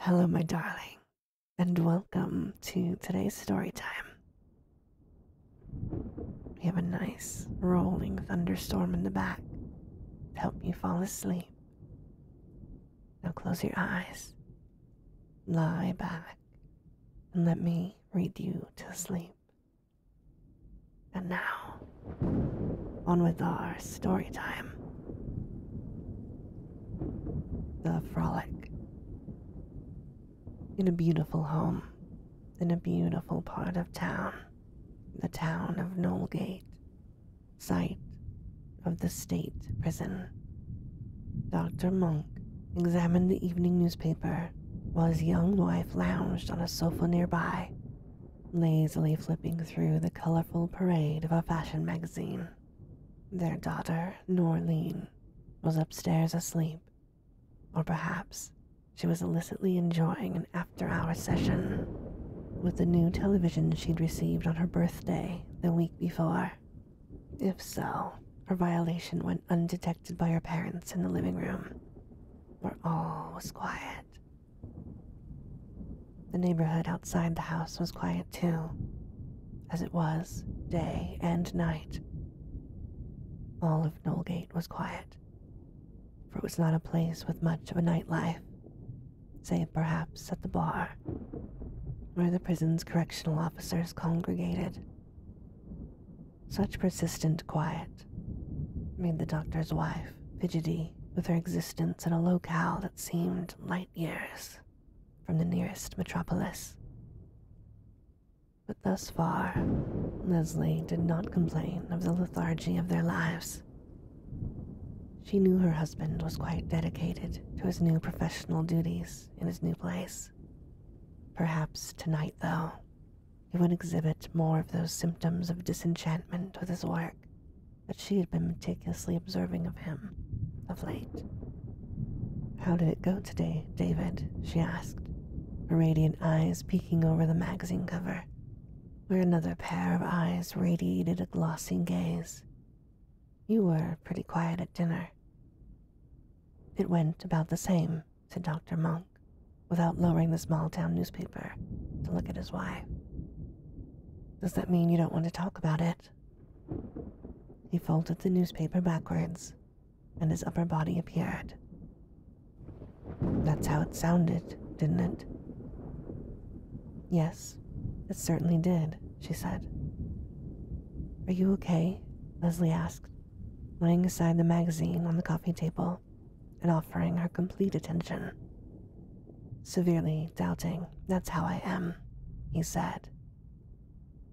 Hello, my darling, and welcome to today's story time. We have a nice rolling thunderstorm in the back to help you fall asleep. Now close your eyes, lie back, and let me read you to sleep. And now, on with our story time the frolic in a beautiful home in a beautiful part of town, the town of Knowlgate, site of the state prison. Dr. Monk examined the evening newspaper while his young wife lounged on a sofa nearby, lazily flipping through the colorful parade of a fashion magazine. Their daughter, Norleen, was upstairs asleep, or perhaps she was illicitly enjoying an after hour session with the new television she'd received on her birthday the week before. If so, her violation went undetected by her parents in the living room, where all was quiet. The neighborhood outside the house was quiet too, as it was day and night. All of Knowlgate was quiet, for it was not a place with much of a nightlife, save perhaps at the bar, where the prison's correctional officers congregated. Such persistent quiet made the doctor's wife fidgety with her existence in a locale that seemed light years from the nearest metropolis. But thus far, Leslie did not complain of the lethargy of their lives. She knew her husband was quite dedicated to his new professional duties in his new place. Perhaps tonight, though, he would exhibit more of those symptoms of disenchantment with his work that she had been meticulously observing of him of late. How did it go today, David? she asked, her radiant eyes peeking over the magazine cover, where another pair of eyes radiated a glossy gaze. You were pretty quiet at dinner. It went about the same, said Dr. Monk, without lowering the small town newspaper to look at his wife. Does that mean you don't want to talk about it? He folded the newspaper backwards, and his upper body appeared. That's how it sounded, didn't it? Yes, it certainly did, she said. Are you okay? Leslie asked, laying aside the magazine on the coffee table and offering her complete attention Severely doubting that's how I am, he said,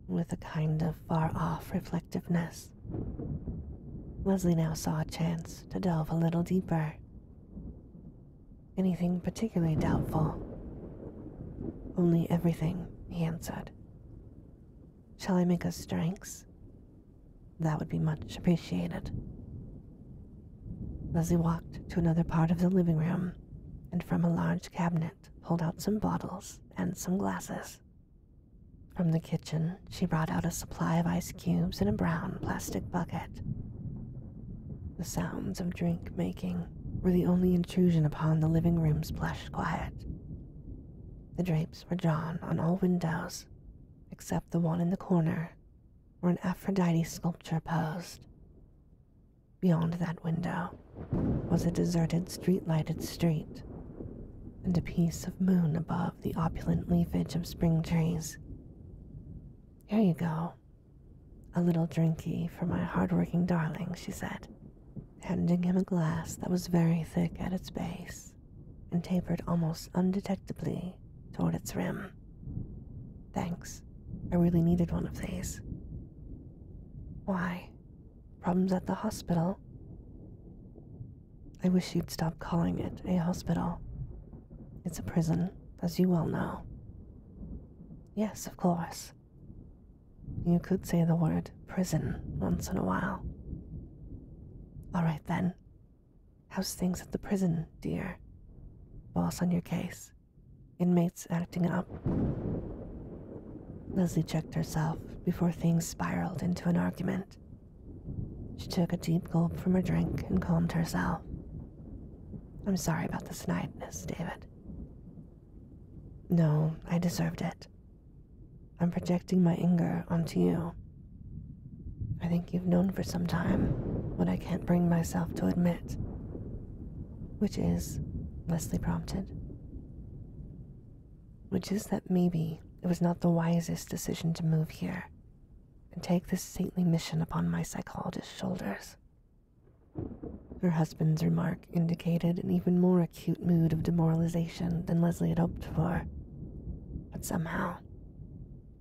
with a kind of far off reflectiveness. Leslie now saw a chance to delve a little deeper. Anything particularly doubtful? Only everything, he answered. Shall I make us strengths? That would be much appreciated. Leslie walked to another part of the living room and from a large cabinet pulled out some bottles and some glasses. From the kitchen, she brought out a supply of ice cubes in a brown plastic bucket. The sounds of drink making were the only intrusion upon the living room's plush quiet. The drapes were drawn on all windows, except the one in the corner, where an Aphrodite sculpture posed. Beyond that window was a deserted street lighted street, and a piece of moon above the opulent leafage of spring trees. Here you go. A little drinky for my hard-working darling, she said, handing him a glass that was very thick at its base and tapered almost undetectably toward its rim. Thanks. I really needed one of these. Why? Problems at the hospital? I wish you'd stop calling it a hospital. It's a prison, as you well know. Yes, of course. You could say the word prison once in a while. All right then. How's things at the prison, dear? Boss on your case. Inmates acting up. Leslie checked herself before things spiraled into an argument. She took a deep gulp from her drink and calmed herself. I'm sorry about the snideness, David. No, I deserved it. I'm projecting my anger onto you. I think you've known for some time what I can't bring myself to admit which is, Leslie prompted, which is that maybe it was not the wisest decision to move here and take this saintly mission upon my psychologist's shoulders. Her husband's remark indicated an even more acute mood of demoralization than Leslie had hoped for. But somehow,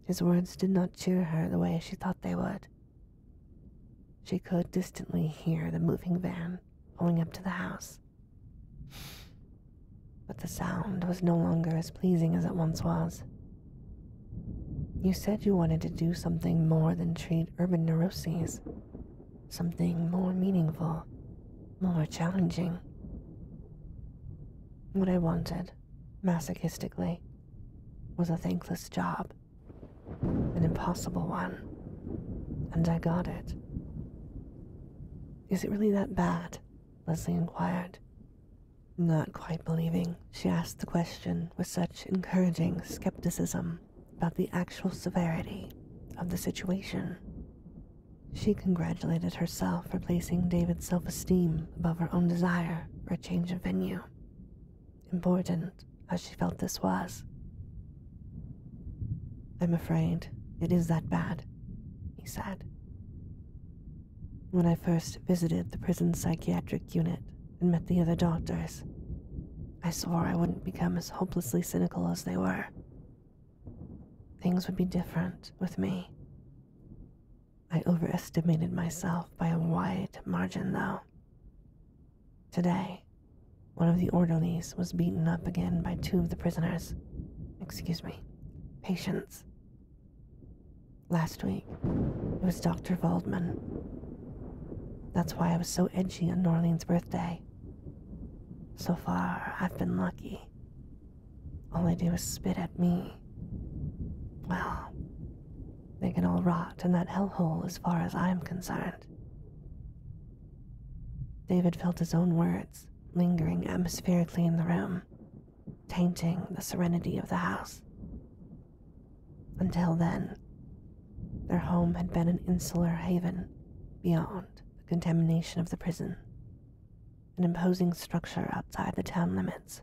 his words did not cheer her the way she thought they would. She could distantly hear the moving van going up to the house. But the sound was no longer as pleasing as it once was. You said you wanted to do something more than treat urban neuroses, something more meaningful, more challenging. What I wanted, masochistically, was a thankless job an impossible one. And I got it. Is it really that bad? Leslie inquired. Not quite believing, she asked the question with such encouraging skepticism about the actual severity of the situation. She congratulated herself for placing David's self esteem above her own desire for a change of venue important as she felt this was. I'm afraid it is that bad, he said. When I first visited the prison psychiatric unit and met the other doctors, I swore I wouldn't become as hopelessly cynical as they were. Things would be different with me. I overestimated myself by a wide margin, though. Today, one of the orderlies was beaten up again by two of the prisoners. Excuse me, patients. Last week, it was Dr. Waldman. That's why I was so edgy on Norlene's birthday. So far, I've been lucky. All they do is spit at me. Well, they can all rot in that hellhole as far as I am concerned. David felt his own words lingering atmospherically in the room, tainting the serenity of the house. Until then, their home had been an insular haven beyond the contamination of the prison, an imposing structure outside the town limits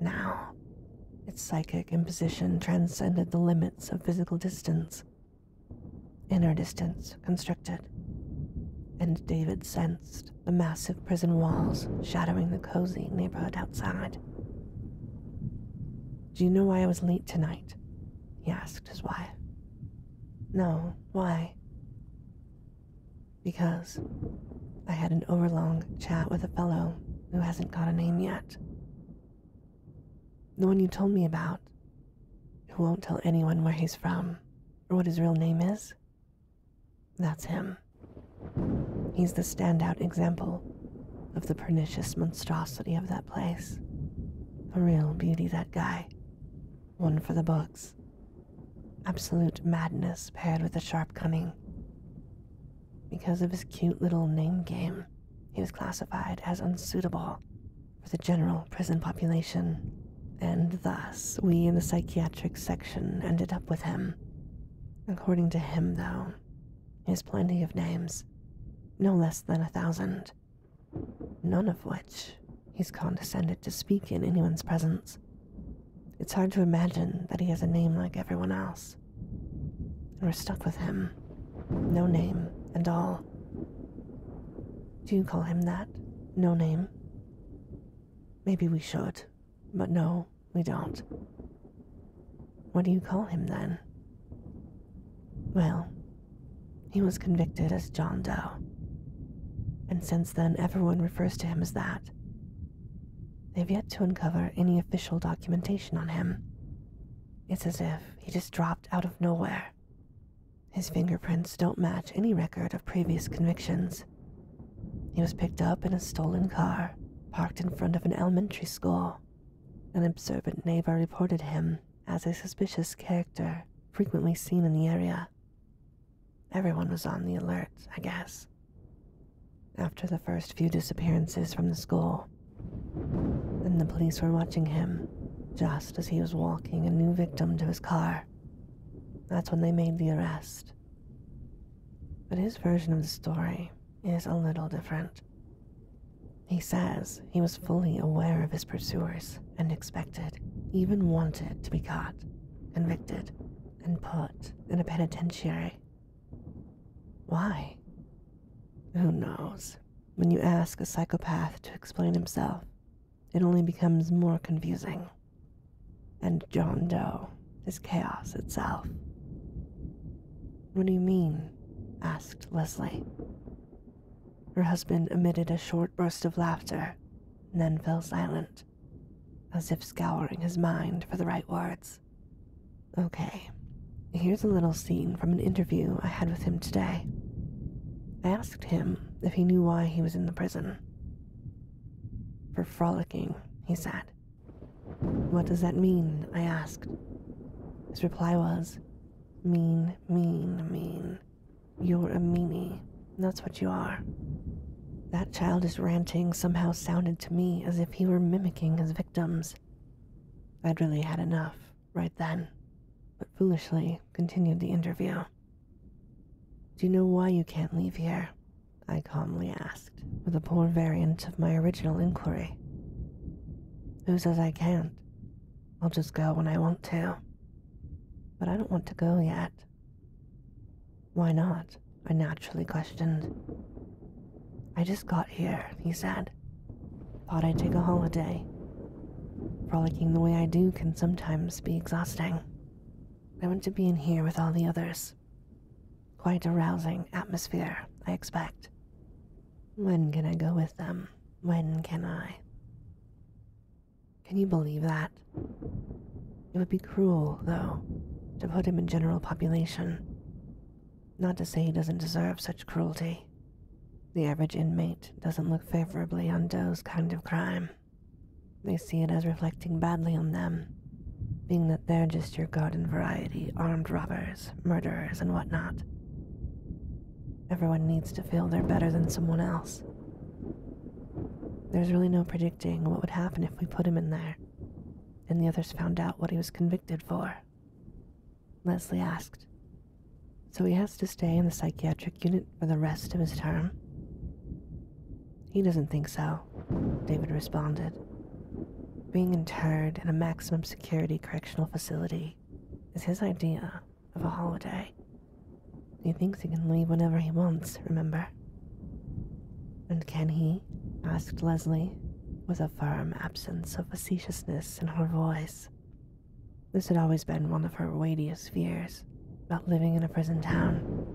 now, its psychic imposition transcended the limits of physical distance. Inner distance constricted, and David sensed the massive prison walls shadowing the cozy neighborhood outside. Do you know why I was late tonight? He asked his wife. No, why? Because I had an overlong chat with a fellow who hasn't got a name yet. The one you told me about, who won't tell anyone where he's from or what his real name is. That's him. He's the standout example of the pernicious monstrosity of that place. A real beauty, that guy. One for the books. Absolute madness paired with a sharp cunning. Because of his cute little name game, he was classified as unsuitable for the general prison population, and thus we in the psychiatric section ended up with him. According to him, though, he has plenty of names, no less than a thousand, none of which he's condescended to speak in anyone's presence. It's hard to imagine that he has a name like everyone else. And we're stuck with him. No name and all. Do you call him that? No name? Maybe we should, but no, we don't. What do you call him then? Well, he was convicted as John Doe. And since then, everyone refers to him as that, They've yet to uncover any official documentation on him. It's as if he just dropped out of nowhere. His fingerprints don't match any record of previous convictions. He was picked up in a stolen car, parked in front of an elementary school. An observant neighbor reported him as a suspicious character frequently seen in the area. Everyone was on the alert, I guess after the first few disappearances from the school. Then the police were watching him just as he was walking a new victim to his car. That's when they made the arrest. But his version of the story is a little different. He says he was fully aware of his pursuers and expected, even wanted, to be caught, convicted, and put in a penitentiary why? Who knows? When you ask a psychopath to explain himself, it only becomes more confusing. And John Doe is chaos itself. What do you mean? asked Leslie. Her husband emitted a short burst of laughter and then fell silent, as if scouring his mind for the right words. Okay, here's a little scene from an interview I had with him today. I asked him if he knew why he was in the prison. For frolicking, he said. What does that mean? I asked. His reply was, Mean, mean, mean. You're a meanie. That's what you are. That childish ranting somehow sounded to me as if he were mimicking his victims. I'd really had enough right then, but foolishly continued the interview. Do you know why you can't leave here? I calmly asked, with a poor variant of my original inquiry. Who says I can't? I'll just go when I want to. But I don't want to go yet. Why not? I naturally questioned. I just got here, he said. Thought I'd take a holiday. Frolicking the way I do can sometimes be exhausting. I want to be in here with all the others. Quite a rousing atmosphere, I expect. When can I go with them? When can I? Can you believe that? It would be cruel, though, to put him in general population. Not to say he doesn't deserve such cruelty. The average inmate doesn't look favorably on Doe's kind of crime. They see it as reflecting badly on them, being that they're just your garden variety armed robbers, murderers, and whatnot. Everyone needs to feel they're better than someone else. There's really no predicting what would happen if we put him in there and the others found out what he was convicted for. Leslie asked. So he has to stay in the psychiatric unit for the rest of his term? He doesn't think so, David responded. Being interred in a maximum security correctional facility is his idea of a holiday. He thinks he can leave whenever he wants, remember? And can he? asked Leslie, with a firm absence of facetiousness in her voice. This had always been one of her weightiest fears about living in a prison town.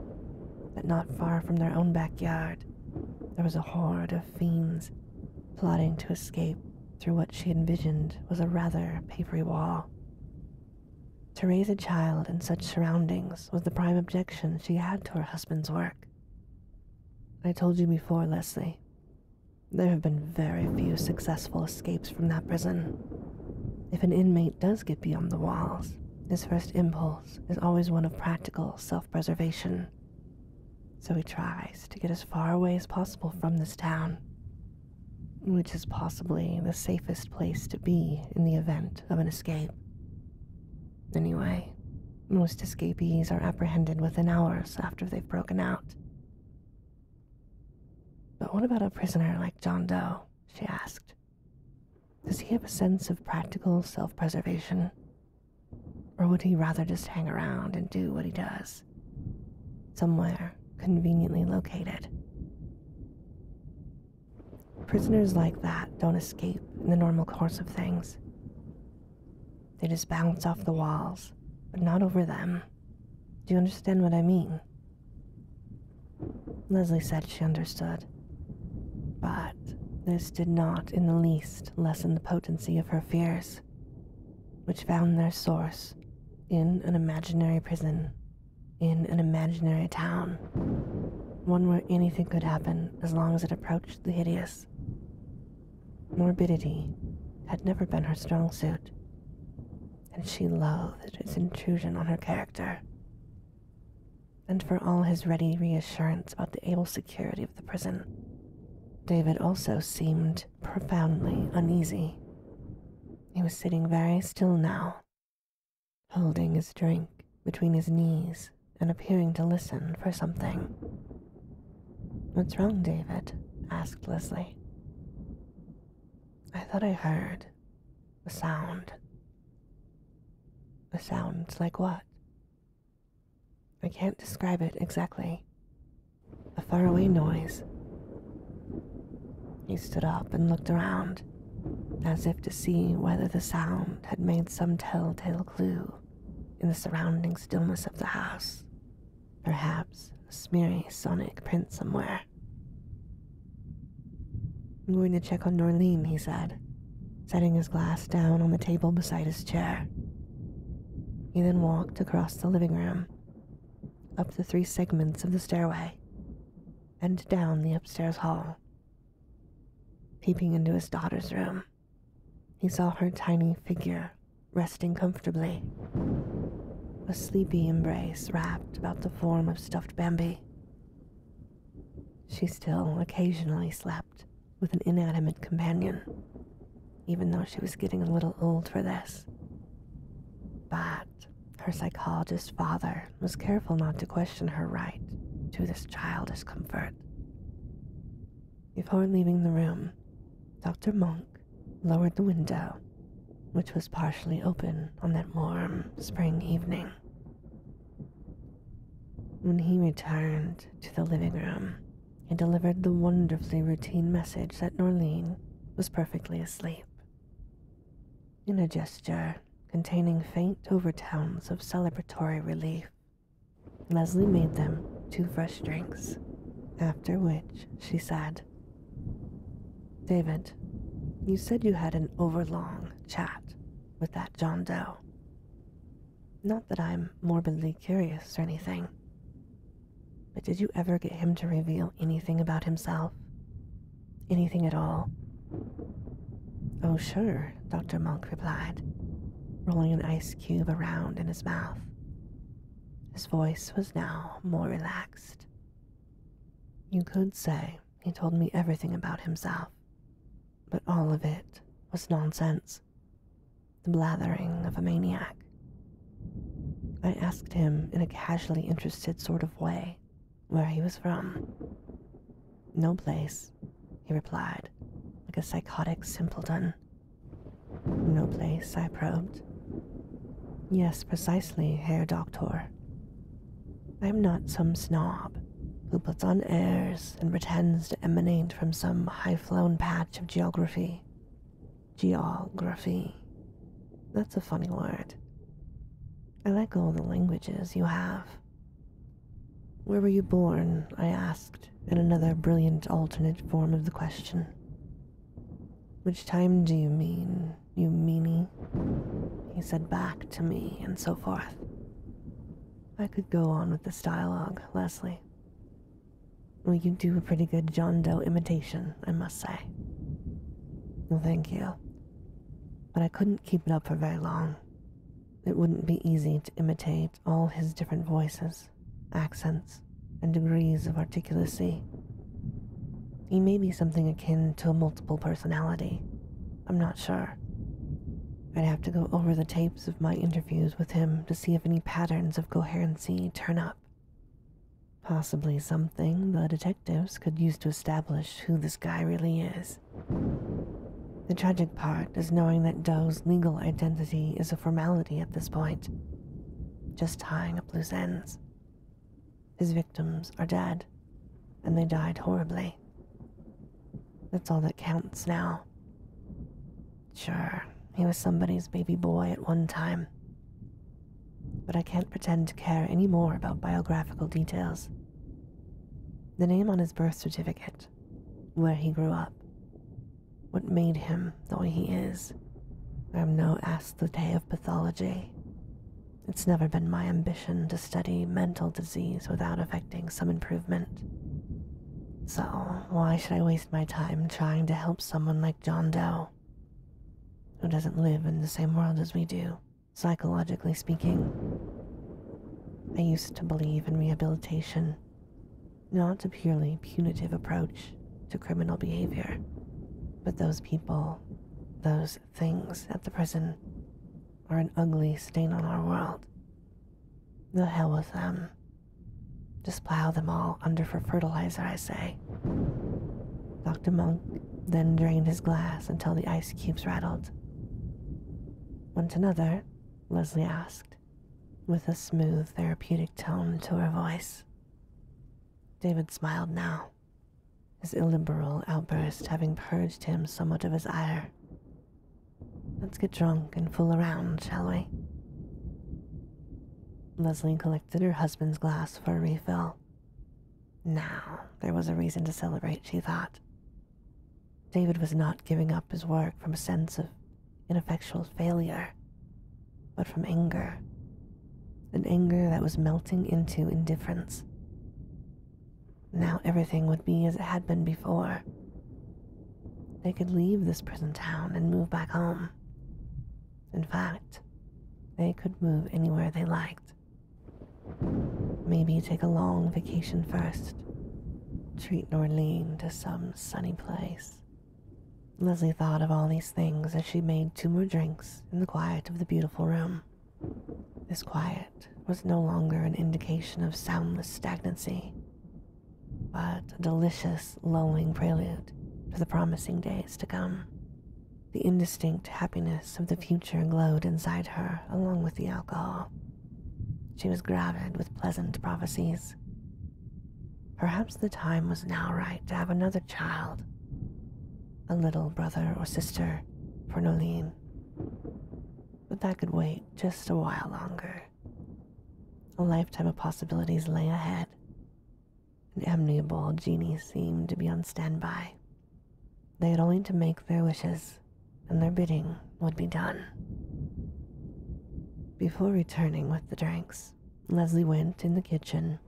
That not far from their own backyard, there was a horde of fiends plotting to escape through what she envisioned was a rather papery wall. To raise a child in such surroundings was the prime objection she had to her husband's work. I told you before, Leslie. There have been very few successful escapes from that prison. If an inmate does get beyond the walls, his first impulse is always one of practical self preservation. So he tries to get as far away as possible from this town, which is possibly the safest place to be in the event of an escape. Anyway, most escapees are apprehended within hours after they've broken out. But what about a prisoner like John Doe? she asked. Does he have a sense of practical self preservation? Or would he rather just hang around and do what he does? Somewhere conveniently located. Prisoners like that don't escape in the normal course of things. They just bounce off the walls, but not over them. Do you understand what I mean? Leslie said she understood, but this did not in the least lessen the potency of her fears, which found their source in an imaginary prison, in an imaginary town, one where anything could happen as long as it approached the hideous. Morbidity had never been her strong suit, and she loathed its intrusion on her character. And for all his ready reassurance about the able security of the prison, David also seemed profoundly uneasy. He was sitting very still now, holding his drink between his knees and appearing to listen for something. What's wrong, David? asked Leslie. I thought I heard a sound. A sound like what? I can't describe it exactly. A faraway noise. He stood up and looked around, as if to see whether the sound had made some telltale clue in the surrounding stillness of the house. Perhaps a smeary sonic print somewhere. I'm going to check on Norleen, he said, setting his glass down on the table beside his chair. He then walked across the living room, up the three segments of the stairway, and down the upstairs hall Peeping into his daughter's room, he saw her tiny figure resting comfortably, a sleepy embrace wrapped about the form of stuffed Bambi. She still occasionally slept with an inanimate companion, even though she was getting a little old for this. But her psychologist father was careful not to question her right to this childish comfort. Before leaving the room, Dr. Monk lowered the window, which was partially open on that warm spring evening. When he returned to the living room, he delivered the wonderfully routine message that Norleen was perfectly asleep. In a gesture containing faint overtones of celebratory relief, Leslie made them two fresh drinks, after which she said, David, you said you had an overlong chat with that John Doe. Not that I'm morbidly curious or anything, but did you ever get him to reveal anything about himself? Anything at all Oh, sure, Dr. Monk replied, rolling an ice cube around in his mouth. His voice was now more relaxed. You could say he told me everything about himself, but all of it was nonsense. The blathering of a maniac. I asked him in a casually interested sort of way where he was from. No place he replied, like a psychotic simpleton. No place, I probed. Yes, precisely, Herr Doktor. I am not some snob who puts on airs and pretends to emanate from some high flown patch of geography. Geography. That's a funny word. I like all the languages you have. Where were you born? I asked, in another brilliant alternate form of the question. Which time do you mean, you meanie? He said back to me, and so forth. I could go on with this dialogue, Leslie. Well, you do a pretty good John Doe imitation, I must say. Well, thank you. But I couldn't keep it up for very long. It wouldn't be easy to imitate all his different voices, accents, and degrees of articulacy. He may be something akin to a multiple personality. I'm not sure. I'd have to go over the tapes of my interviews with him to see if any patterns of coherency turn up. Possibly something the detectives could use to establish who this guy really is. The tragic part is knowing that Doe's legal identity is a formality at this point, just tying up loose ends. His victims are dead, and they died horribly. That's all that counts now. Sure, he was somebody's baby boy at one time. But I can't pretend to care any more about biographical details. The name on his birth certificate where he grew up, what made him the way he is. I'm no asthete of pathology. It's never been my ambition to study mental disease without affecting some improvement. So, why should I waste my time trying to help someone like John Doe, who doesn't live in the same world as we do? Psychologically speaking, I used to believe in rehabilitation, not a purely punitive approach to criminal behavior, but those people, those things at the prison, are an ugly stain on our world. The hell with them. Just plow them all under for fertilizer, I say. Dr. Monk then drained his glass until the ice cubes rattled. Once another, Leslie asked, with a smooth, therapeutic tone to her voice. David smiled now, his illiberal outburst having purged him somewhat of his ire. Let's get drunk and fool around, shall we? Leslie collected her husband's glass for a refill. Now, there was a reason to celebrate, she thought, David was not giving up his work from a sense of ineffectual failure, but from anger, an anger that was melting into indifference. Now everything would be as it had been before. They could leave this prison town and move back home. In fact, they could move anywhere they liked. Maybe take a long vacation first. Treat Norleen to some sunny place. Leslie thought of all these things as she made two more drinks in the quiet of the beautiful room. This quiet was no longer an indication of soundless stagnancy, but a delicious, lulling prelude to the promising days to come. The indistinct happiness of the future glowed inside her along with the alcohol. She was gravid with pleasant prophecies. Perhaps the time was now right to have another child, a little brother or sister for Nolene. But that could wait just a while longer. A lifetime of possibilities lay ahead. An amiable genie seemed to be on standby, they had only to make their wishes, and their bidding would be done. Before returning with the drinks, Leslie went in the kitchen.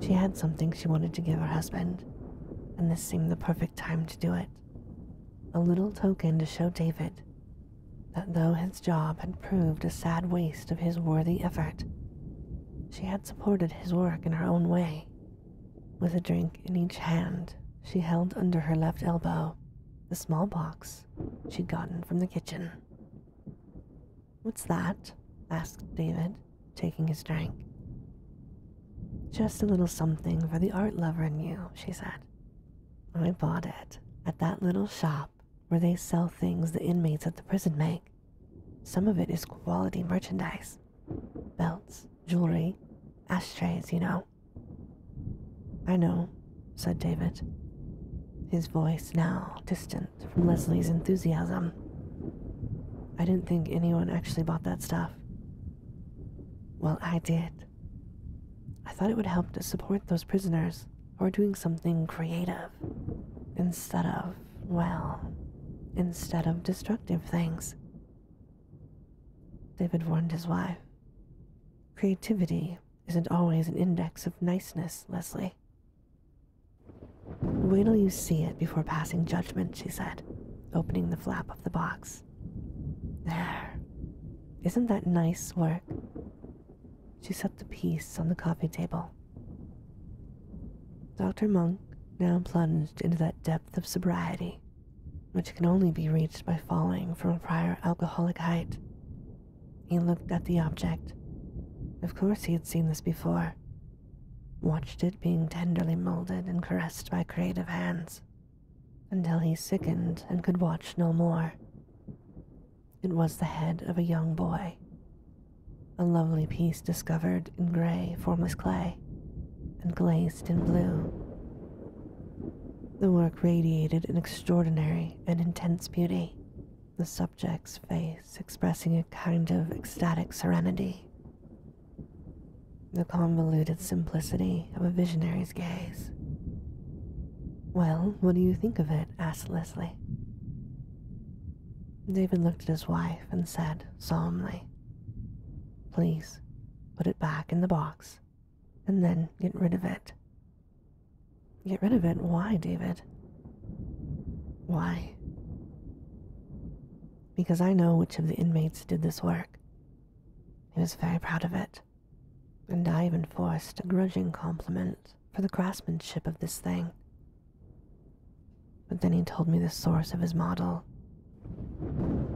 She had something she wanted to give her husband, and this seemed the perfect time to do it. A little token to show David that though his job had proved a sad waste of his worthy effort, she had supported his work in her own way with a drink in each hand, she held under her left elbow the small box she'd gotten from the kitchen. What's that? asked David, taking his drink. Just a little something for the art lover in you, she said. I bought it at that little shop where they sell things the inmates of the prison make. Some of it is quality merchandise belts, jewelry, ashtrays, you know. I know, said David, his voice now distant from Leslie's enthusiasm. I didn't think anyone actually bought that stuff. Well, I did. I thought it would help to support those prisoners who are doing something creative instead of, well, instead of destructive things. David warned his wife. Creativity isn't always an index of niceness, Leslie. Wait till you see it before passing judgment, she said, opening the flap of the box. There. Isn't that nice work? She set the piece on the coffee table. Dr. Monk now plunged into that depth of sobriety which can only be reached by falling from a prior alcoholic height. He looked at the object. Of course, he had seen this before, watched it being tenderly molded and caressed by creative hands until he sickened and could watch no more. It was the head of a young boy, a lovely piece discovered in gray, formless clay, and glazed in blue. The work radiated an extraordinary and intense beauty, the subject's face expressing a kind of ecstatic serenity. The convoluted simplicity of a visionary's gaze. Well, what do you think of it? asked Leslie. David looked at his wife and said solemnly, Please put it back in the box, and then get rid of it. Get rid of it? Why, David? Why? Because I know which of the inmates did this work. He was very proud of it, and I even forced a grudging compliment for the craftsmanship of this thing. But then he told me the source of his model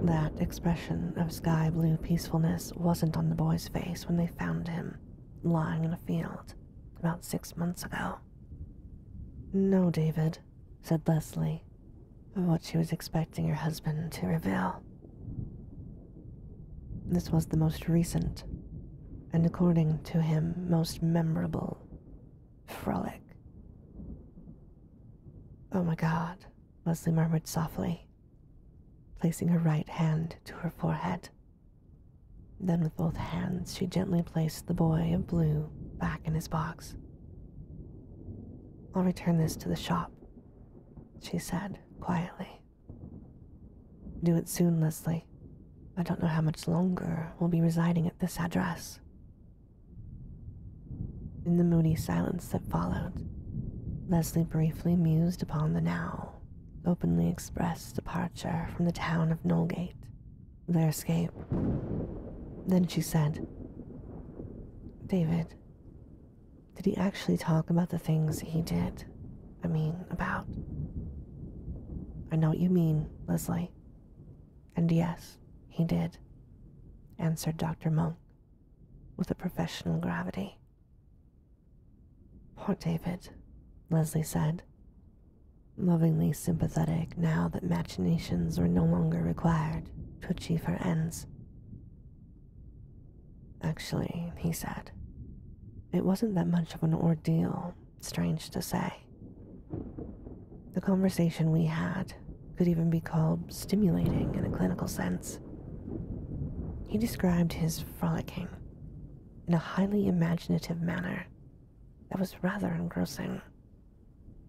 that expression of sky blue peacefulness wasn't on the boy's face when they found him lying in a field about six months ago. No, David, said Leslie, of what she was expecting her husband to reveal. This was the most recent, and according to him, most memorable frolic. Oh my god, Leslie murmured softly, placing her right hand to her forehead. Then, with both hands, she gently placed the boy of blue back in his box. I'll return this to the shop, she said quietly. Do it soon, Leslie. I don't know how much longer we'll be residing at this address. In the moody silence that followed, Leslie briefly mused upon the now openly expressed departure from the town of Nolgate, their escape. Then she said, David, did he actually talk about the things he did? I mean, about. I know what you mean, Leslie. And yes, he did, answered Dr. Monk with a professional gravity. Poor David, Leslie said, lovingly sympathetic now that machinations were no longer required to achieve her ends. Actually, he said, it wasn't that much of an ordeal, strange to say. The conversation we had could even be called stimulating in a clinical sense. He described his frolicking in a highly imaginative manner that was rather engrossing.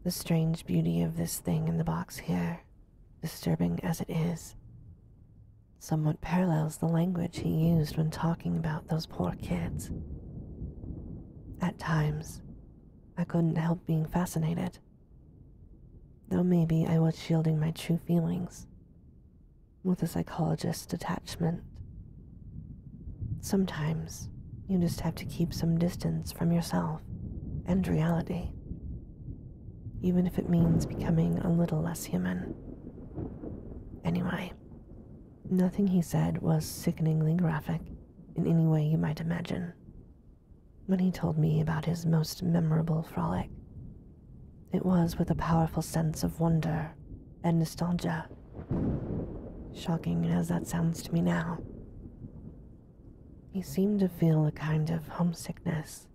The strange beauty of this thing in the box here, disturbing as it is, somewhat parallels the language he used when talking about those poor kids. At times, I couldn't help being fascinated Though maybe I was shielding my true feelings with a psychologist's detachment. Sometimes you just have to keep some distance from yourself and reality, even if it means becoming a little less human. Anyway, nothing he said was sickeningly graphic in any way you might imagine when he told me about his most memorable frolic. It was with a powerful sense of wonder and nostalgia. Shocking as that sounds to me now. He seemed to feel a kind of homesickness,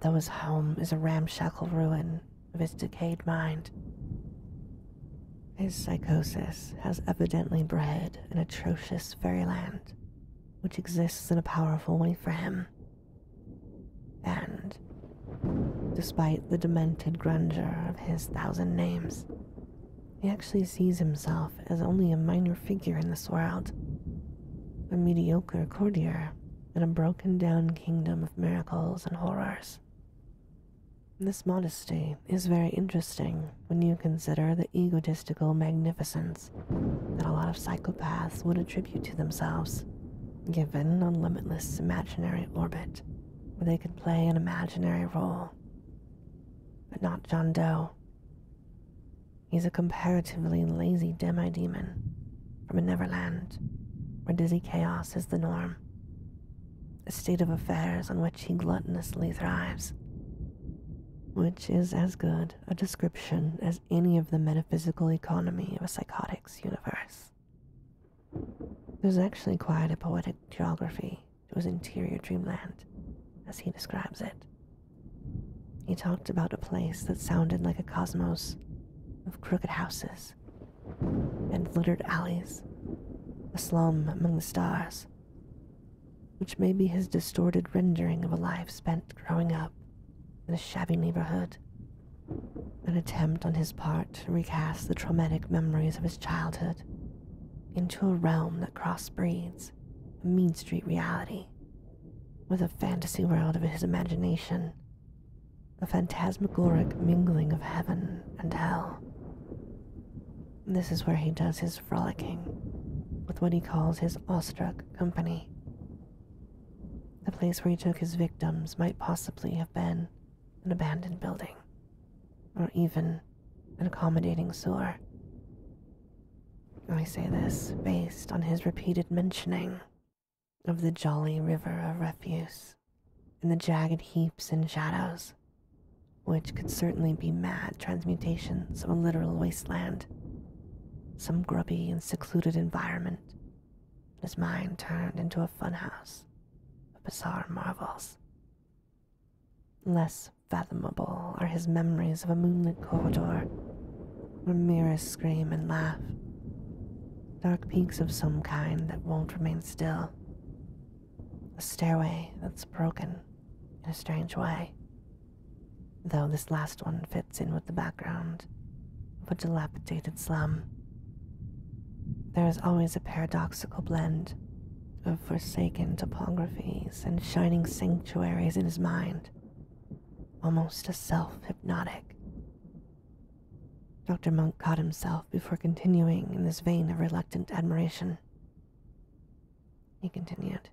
though his home is a ramshackle ruin of his decayed mind. His psychosis has evidently bred an atrocious fairyland which exists in a powerful way for him. And, despite the demented grandeur of his thousand names, he actually sees himself as only a minor figure in this world, a mediocre courtier in a broken down kingdom of miracles and horrors. This modesty is very interesting when you consider the egotistical magnificence that a lot of psychopaths would attribute to themselves, given a limitless imaginary orbit where they could play an imaginary role. But not John Doe. He's a comparatively lazy demi-demon from a neverland where dizzy chaos is the norm, a state of affairs on which he gluttonously thrives which is as good a description as any of the metaphysical economy of a psychotics universe. It was actually quite a poetic geography to his interior dreamland, as he describes it. He talked about a place that sounded like a cosmos of crooked houses and littered alleys, a slum among the stars, which may be his distorted rendering of a life spent growing up in a shabby neighborhood, an attempt on his part to recast the traumatic memories of his childhood into a realm that crossbreeds a mean street reality with a fantasy world of his imagination, a phantasmagoric mingling of heaven and hell. This is where he does his frolicking with what he calls his awestruck company. The place where he took his victims might possibly have been an abandoned building, or even an accommodating sewer. I say this based on his repeated mentioning of the jolly river of refuse and the jagged heaps and shadows which could certainly be mad transmutations of a literal wasteland, some grubby and secluded environment, his mind turned into a funhouse of bizarre marvels. Less fathomable are his memories of a moonlit corridor where mirrors scream and laugh, dark peaks of some kind that won't remain still, a stairway that's broken in a strange way though this last one fits in with the background of a dilapidated slum. There is always a paradoxical blend of forsaken topographies and shining sanctuaries in his mind, almost a self hypnotic. Dr. Monk caught himself before continuing in this vein of reluctant admiration he continued.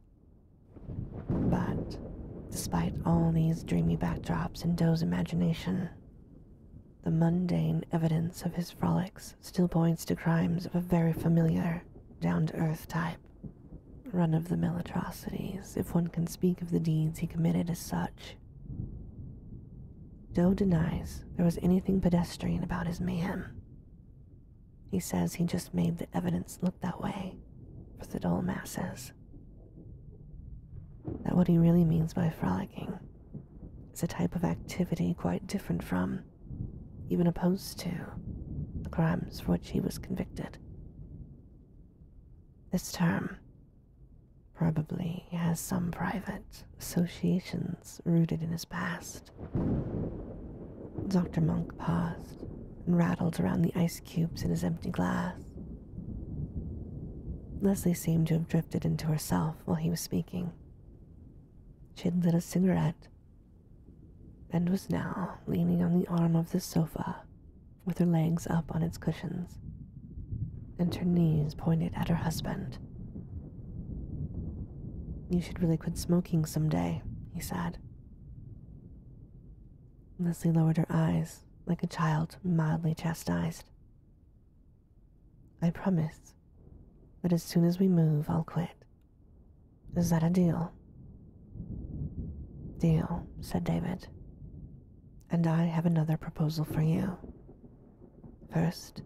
But despite all these dreamy backdrops in Doe's imagination, the mundane evidence of his frolics still points to crimes of a very familiar, down to earth type. Run of the mill atrocities, if one can speak of the deeds he committed as such. Doe denies there was anything pedestrian about his mayhem. He says he just made the evidence look that way for the dull masses. That what he really means by frolicking is a type of activity quite different from, even opposed to, the crimes for which he was convicted. This term probably has some private associations rooted in his past Dr. Monk paused and rattled around the ice cubes in his empty glass. Leslie seemed to have drifted into herself while he was speaking. She had lit a cigarette and was now leaning on the arm of the sofa with her legs up on its cushions and her knees pointed at her husband. You should really quit smoking some day," he said. Leslie lowered her eyes like a child mildly chastised. I promise that as soon as we move, I'll quit. Is that a deal? Deal, said David. And I have another proposal for you. First,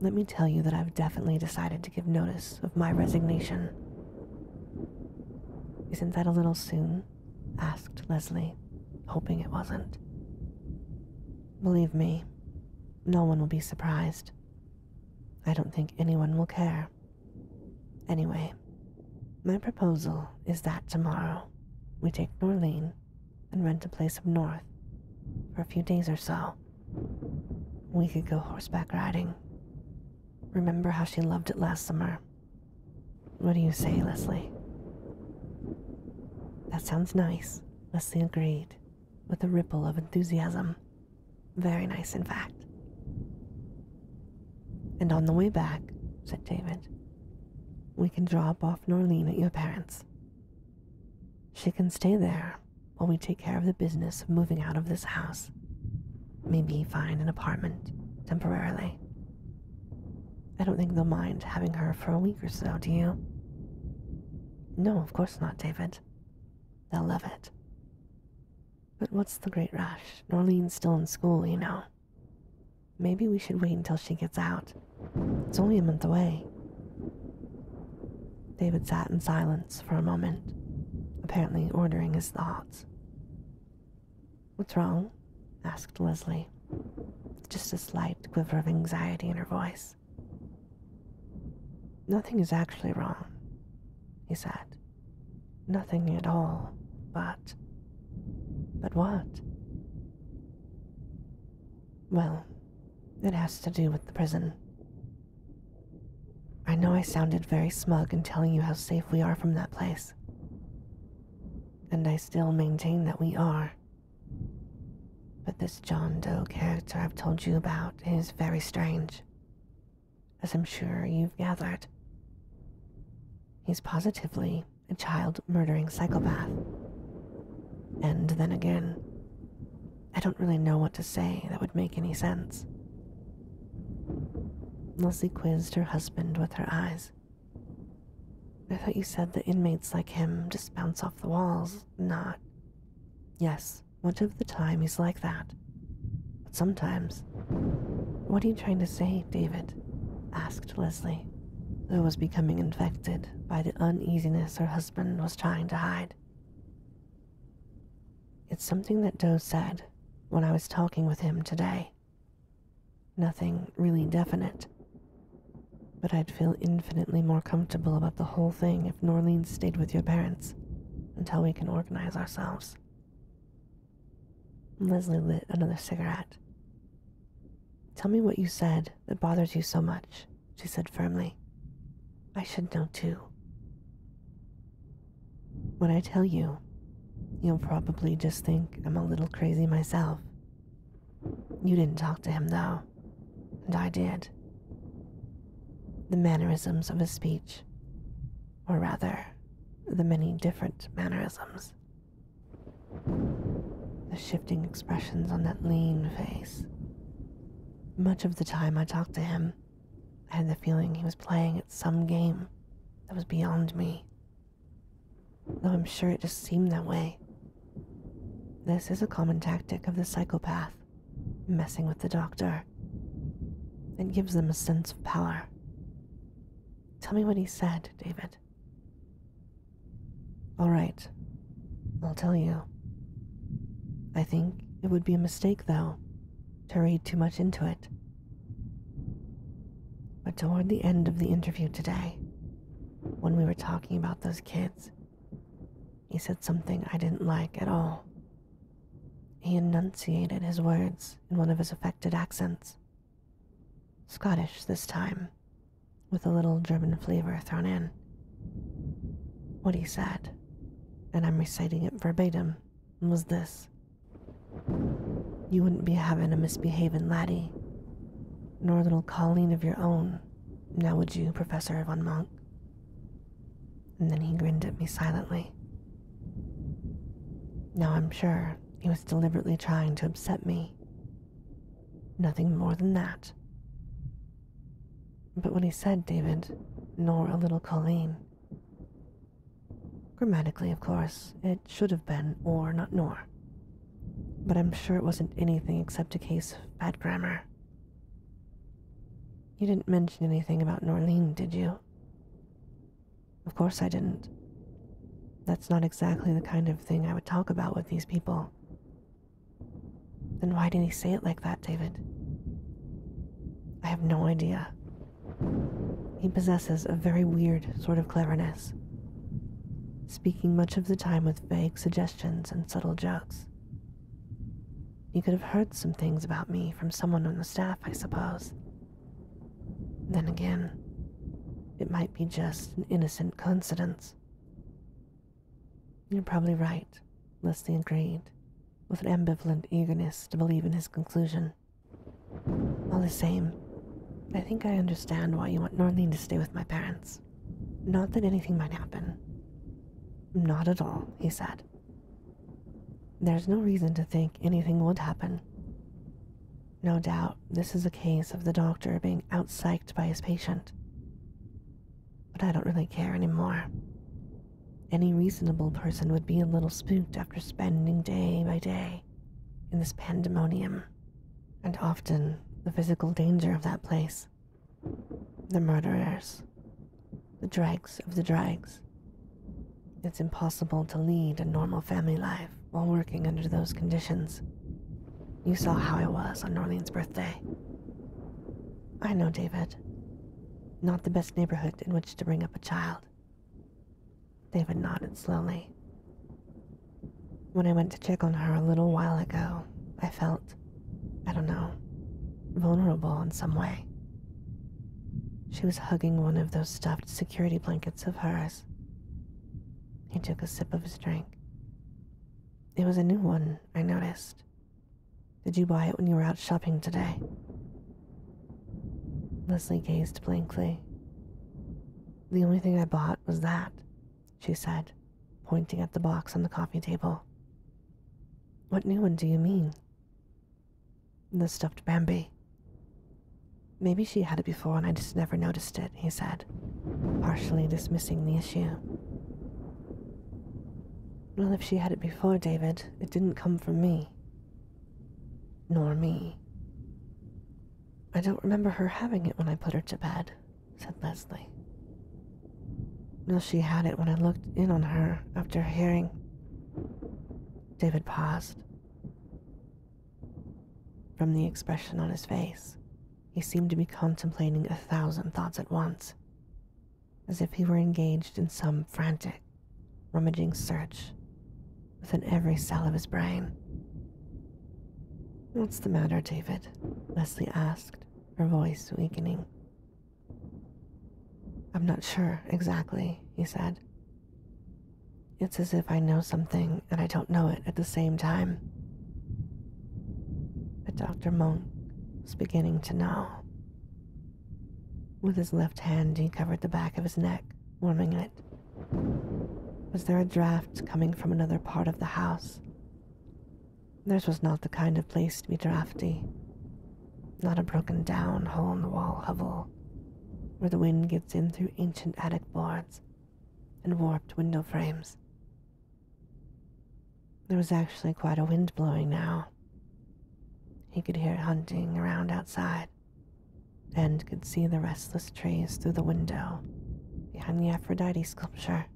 let me tell you that I've definitely decided to give notice of my resignation. Isn't that a little soon? asked Leslie, hoping it wasn't. Believe me, no one will be surprised. I don't think anyone will care. Anyway, my proposal is that tomorrow we take Norlane and rent a place up north for a few days or so. We could go horseback riding. Remember how she loved it last summer. What do you say, Leslie? That sounds nice, Leslie agreed, with a ripple of enthusiasm. Very nice, in fact. And on the way back, said David, we can drop off Norlene at your parents. She can stay there while we take care of the business of moving out of this house. Maybe find an apartment temporarily. I don't think they'll mind having her for a week or so, do you? No, of course not, David. They'll love it. But what's the great rush? Norlene's still in school, you know. Maybe we should wait until she gets out. It's only a month away. David sat in silence for a moment, apparently ordering his thoughts. What's wrong? asked Leslie, with just a slight quiver of anxiety in her voice. Nothing is actually wrong, he said. Nothing at all, but. But what? Well, it has to do with the prison. I know I sounded very smug in telling you how safe we are from that place. And I still maintain that we are. But this John Doe character I've told you about is very strange, as I'm sure you've gathered. He's positively a child murdering psychopath. And then again, I don't really know what to say that would make any sense. Leslie quizzed her husband with her eyes. I thought you said that inmates like him just bounce off the walls, not. Yes, much of the time he's like that. But sometimes. What are you trying to say, David? asked Leslie, who was becoming infected by the uneasiness her husband was trying to hide. It's something that Doe said when I was talking with him today. Nothing really definite. But I'd feel infinitely more comfortable about the whole thing if Norlene stayed with your parents until we can organize ourselves. Leslie lit another cigarette. Tell me what you said that bothers you so much, she said firmly. I should know too. When I tell you, you'll probably just think I'm a little crazy myself. You didn't talk to him, though, and I did. The mannerisms of his speech, or rather, the many different mannerisms. The shifting expressions on that lean face. Much of the time I talked to him, I had the feeling he was playing at some game that was beyond me. Though I'm sure it just seemed that way. This is a common tactic of the psychopath, messing with the doctor. It gives them a sense of power. Tell me what he said, David. All right, I'll tell you. I think it would be a mistake, though, to read too much into it. But toward the end of the interview today, when we were talking about those kids, he said something I didn't like at all. He enunciated his words in one of his affected accents. Scottish this time, with a little German flavor thrown in. What he said, and I'm reciting it verbatim, was this You wouldn't be having a misbehaving laddie, nor a little Colleen of your own, now would you, Professor Von Monck?" And then he grinned at me silently. Now I'm sure he was deliberately trying to upset me. Nothing more than that. But what he said, David, nor a little Colleen. Grammatically, of course, it should have been or, not nor. But I'm sure it wasn't anything except a case of bad grammar. You didn't mention anything about Norleen, did you? Of course I didn't. That's not exactly the kind of thing I would talk about with these people. Then why did he say it like that, David? I have no idea. He possesses a very weird sort of cleverness, speaking much of the time with vague suggestions and subtle jokes. You could have heard some things about me from someone on the staff, I suppose. Then again, it might be just an innocent coincidence. You're probably right, Leslie agreed, with an ambivalent eagerness to believe in his conclusion. All the same, I think I understand why you want Norlene to stay with my parents. Not that anything might happen. Not at all, he said. There's no reason to think anything would happen. No doubt this is a case of the doctor being out psyched by his patient but I don't really care anymore. Any reasonable person would be a little spooked after spending day by day in this pandemonium, and often the physical danger of that place. The murderers, the dregs of the dregs. It's impossible to lead a normal family life while working under those conditions. You saw how I was on Norlene's birthday. I know, David. Not the best neighborhood in which to bring up a child. David nodded slowly. When I went to check on her a little while ago, I felt, I don't know, vulnerable in some way. She was hugging one of those stuffed security blankets of hers. He took a sip of his drink. It was a new one, I noticed, did you buy it when you were out shopping today? Leslie gazed blankly. The only thing I bought was that, she said, pointing at the box on the coffee table. What new one do you mean? The stuffed Bambi. Maybe she had it before and I just never noticed it, he said, partially dismissing the issue. Well, if she had it before, David, it didn't come from me. Nor me. I don't remember her having it when I put her to bed, said Leslie. No, she had it when I looked in on her after hearing. David paused. From the expression on his face, he seemed to be contemplating a thousand thoughts at once, as if he were engaged in some frantic, rummaging search within every cell of his brain. What's the matter, David? Leslie asked, her voice weakening. I'm not sure exactly, he said. It's as if I know something and I don't know it at the same time. But Dr. Monk was beginning to know. With his left hand, he covered the back of his neck, warming it. Was there a draft coming from another part of the house? This was not the kind of place to be drafty. Not a broken down, hole in the wall hovel, where the wind gets in through ancient attic boards and warped window frames. There was actually quite a wind blowing now. He could hear it hunting around outside and could see the restless trees through the window behind the Aphrodite sculpture.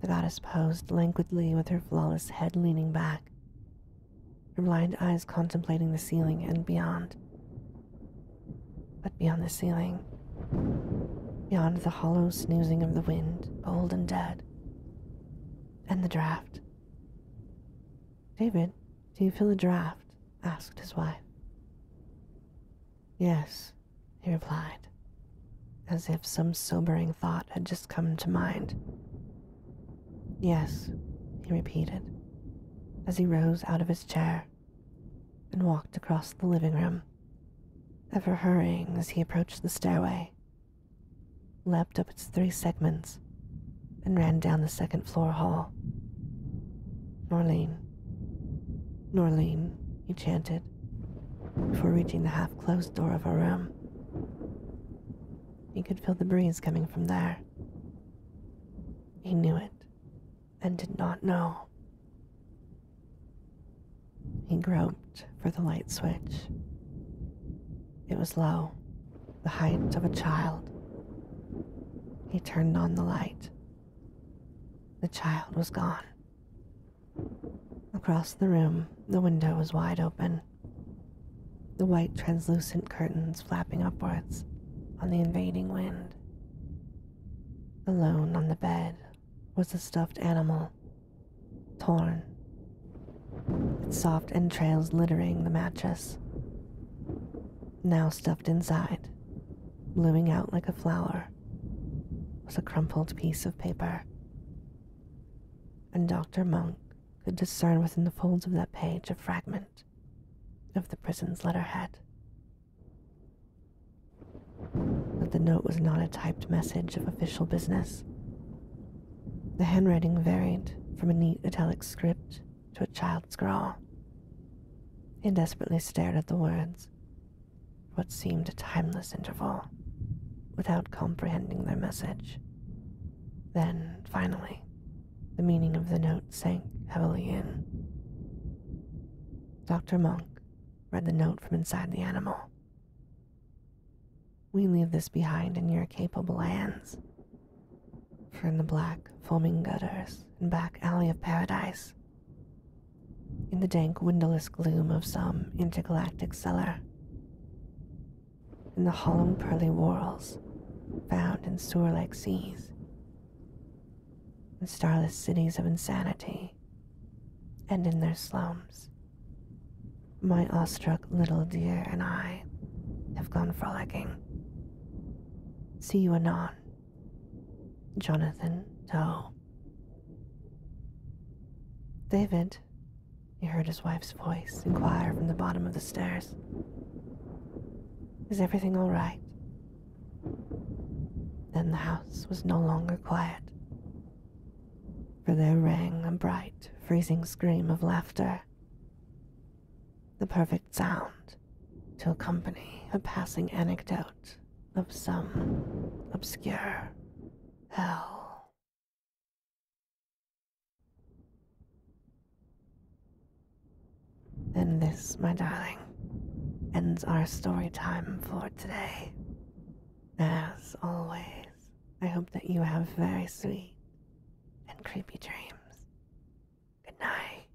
The goddess posed languidly with her flawless head leaning back, her blind eyes contemplating the ceiling and beyond. But beyond the ceiling, beyond the hollow snoozing of the wind, old and dead, and the draft. David, do you feel a draft? asked his wife. Yes, he replied, as if some sobering thought had just come to mind. Yes, he repeated, as he rose out of his chair and walked across the living room, ever hurrying as he approached the stairway Lapped up its three segments, and ran down the second floor hall. Norlene, Norlene, he chanted, before reaching the half closed door of a room. He could feel the breeze coming from there. He knew it, and did not know. He groped for the light switch. It was low, the height of a child. He turned on the light. The child was gone. Across the room, the window was wide open, the white translucent curtains flapping upwards on the invading wind. Alone on the bed was a stuffed animal, torn, its soft entrails littering the mattress. Now stuffed inside, blooming out like a flower, was a crumpled piece of paper. And Dr. Monk could discern within the folds of that page a fragment of the prison's letterhead but the note was not a typed message of official business. The handwriting varied from a neat italic script to a child's scrawl. He desperately stared at the words for what seemed a timeless interval without comprehending their message. Then, finally, the meaning of the note sank heavily in. Dr. Monk read the note from inside the animal, we leave this behind in your capable hands. For in the black, foaming gutters and back alley of paradise, in the dank, windowless gloom of some intergalactic cellar, in the hollow, pearly whorls found in sewer like seas, in starless cities of insanity and in their slums. My awestruck little dear and I have gone frolicking. See you anon. Jonathan Toe. David, he heard his wife's voice inquire from the bottom of the stairs. Is everything all right? Then the house was no longer quiet, for there rang a bright, freezing scream of laughter, the perfect sound to accompany a passing anecdote of some obscure hell. Then this, my darling, ends our story time for today. As always, I hope that you have very sweet and creepy dreams. Good night.